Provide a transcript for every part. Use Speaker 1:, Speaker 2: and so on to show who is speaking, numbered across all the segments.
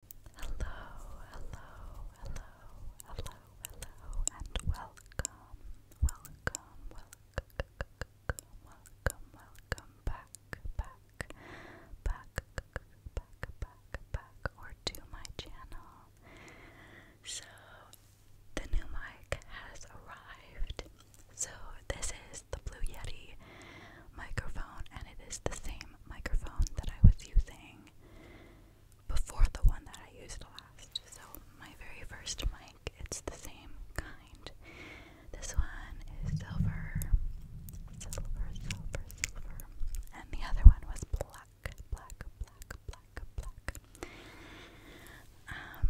Speaker 1: Hello, hello, hello, hello, hello, and welcome, welcome, welcome, welcome, welcome back, back, back, back, back, back, or to my channel. So, the new mic has arrived. So, this is the Blue Yeti microphone, and it is the same microphone that I was using before the one that I used last. So, my very first mic, it's the same kind. This one is silver,
Speaker 2: silver, silver, silver, and the other one was black, black, black, black, black. Um,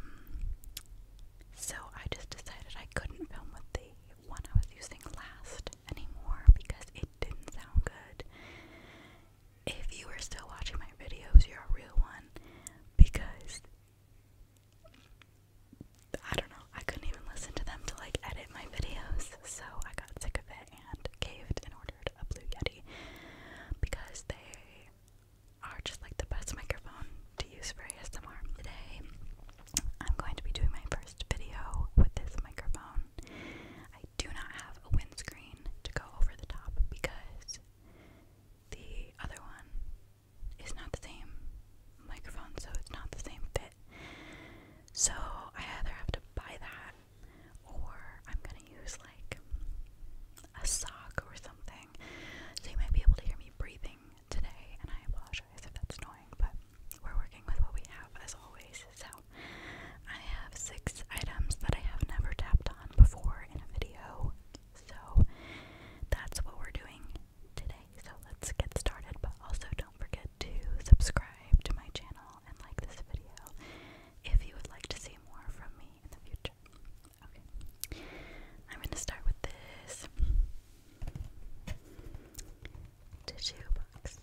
Speaker 2: so I just decided I couldn't film with the one I was using last anymore because it didn't sound good. If you are still watching my videos, you're a real one because
Speaker 1: I don't know, I couldn't even listen to them to like edit my videos, so I got sick of it and caved and ordered a Blue Yeti because they are just like the best microphone to use for ASMR. Today, I'm going to be doing my first video with this microphone. I do not have a windscreen to go over the top because the other one is not the same microphone, so it's not the same fit. So I either have to buy that or I'm gonna use like a sock or something. So you might be able to hear me breathing today, and I apologize if that's annoying, but we're working with what we have as always. So I have six items that I have never tapped on before in a video. So that's what we're doing today. So let's get started. But also don't forget to subscribe to my channel and like this video if you would like to see more from me in the future. Okay. I'm going to start with this tissue box.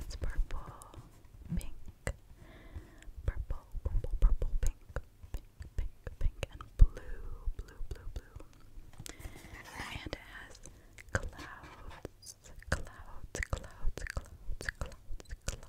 Speaker 1: It's purple, pink, purple, purple, purple, pink, pink, pink, pink, and blue, blue, blue, blue. And it has clouds, clouds, clouds, clouds, clouds, clouds.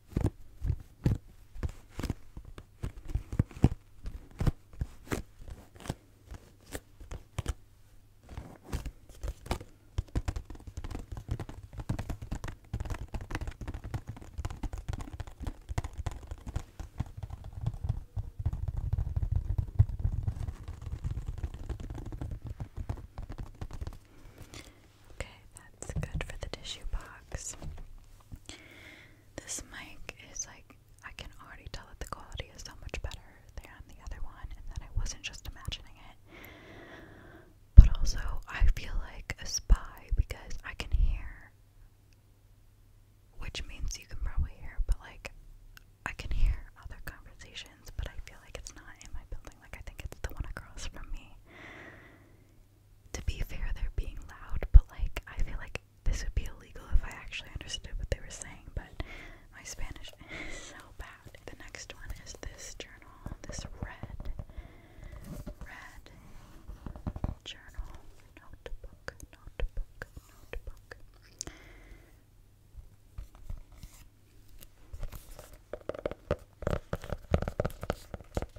Speaker 1: Okay, that's good for the tissue box. This mic is like, I can already tell that the quality is so much better than the other one, and that I wasn't just imagining it. But also, I feel like a spy because I can hear, which means you can probably hear, but like, I can hear other conversations, but I feel like it's not in my building. Like, I think it's the one across from me to be fair, they're being loud, but like, I feel like this would be illegal if I actually understood what they were saying, but my Spanish is so bad. The next one is this journal, this red, red journal, notebook, notebook, notebook.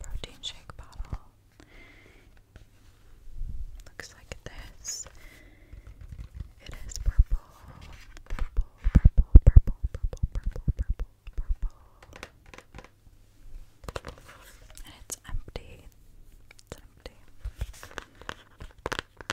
Speaker 1: Protein shake bottle. Looks like this. It is purple, purple, purple, purple, purple, purple, purple, purple. And it's empty.
Speaker 2: It's empty.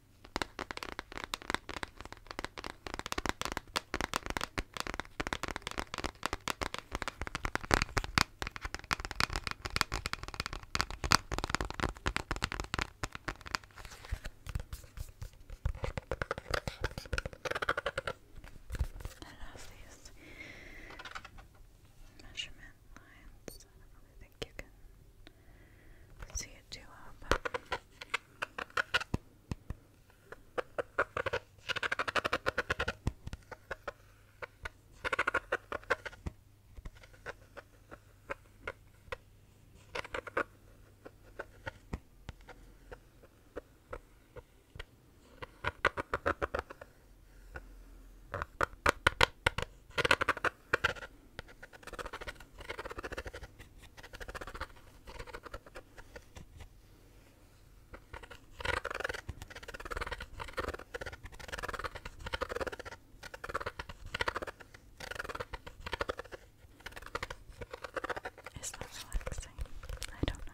Speaker 2: I love these measurement lines. I think you can Let's see it do up. Um, is that relaxing? I don't know.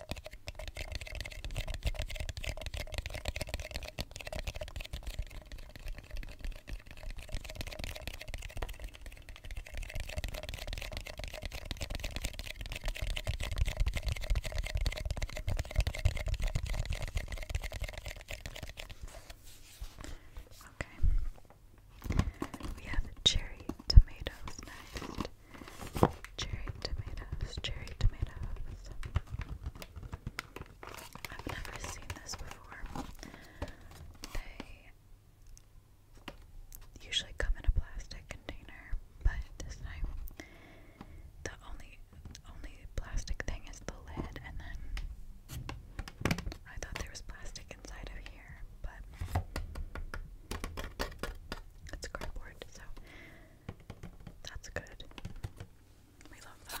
Speaker 2: Okay. We have cherry tomatoes next. Cherry tomatoes, cherry tomatoes. I've never seen this before. They usually come in a plastic container, but this time the only
Speaker 1: only plastic thing is the lid and then I thought there was plastic inside of here, but it's cardboard, so that's good. We love that.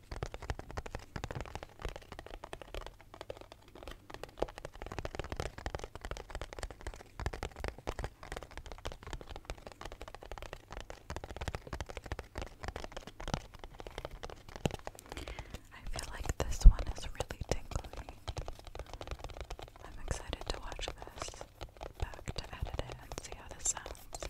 Speaker 1: I feel like this one is really tingly. I'm excited to watch this back to edit it and see how this sounds.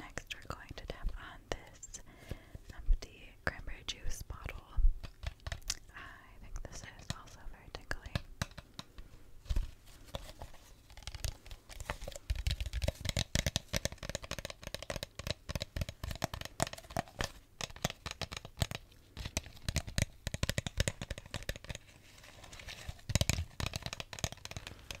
Speaker 1: Next, we're going to tap on this empty cranberry juice bottle. I think this is also very tingly.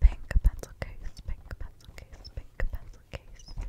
Speaker 1: Pink pencil case, pink pencil case, pink pencil case.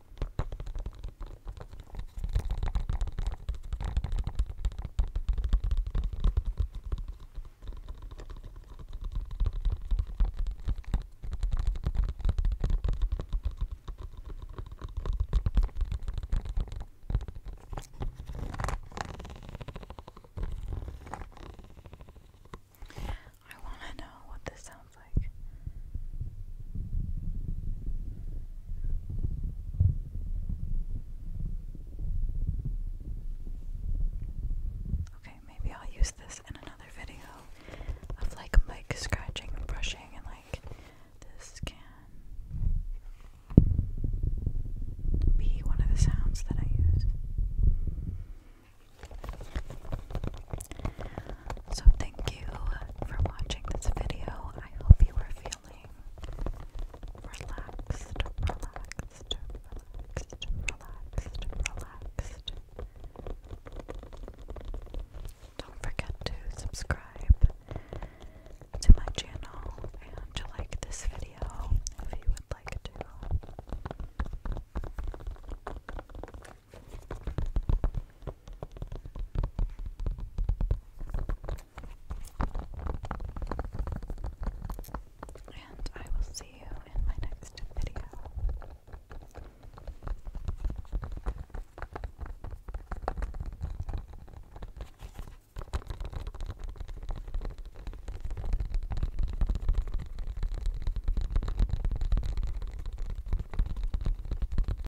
Speaker 1: I want to know what this sounds like. Okay, maybe I'll use this in another video of like mic scratching and brushing and like this can be one of the sounds that I use. So, thank you for watching this video. I hope you are feeling relaxed, relaxed, relaxed, relaxed, relaxed. Don't forget to subscribe to my channel and to like this video if you would like to. And I will see you in my next video.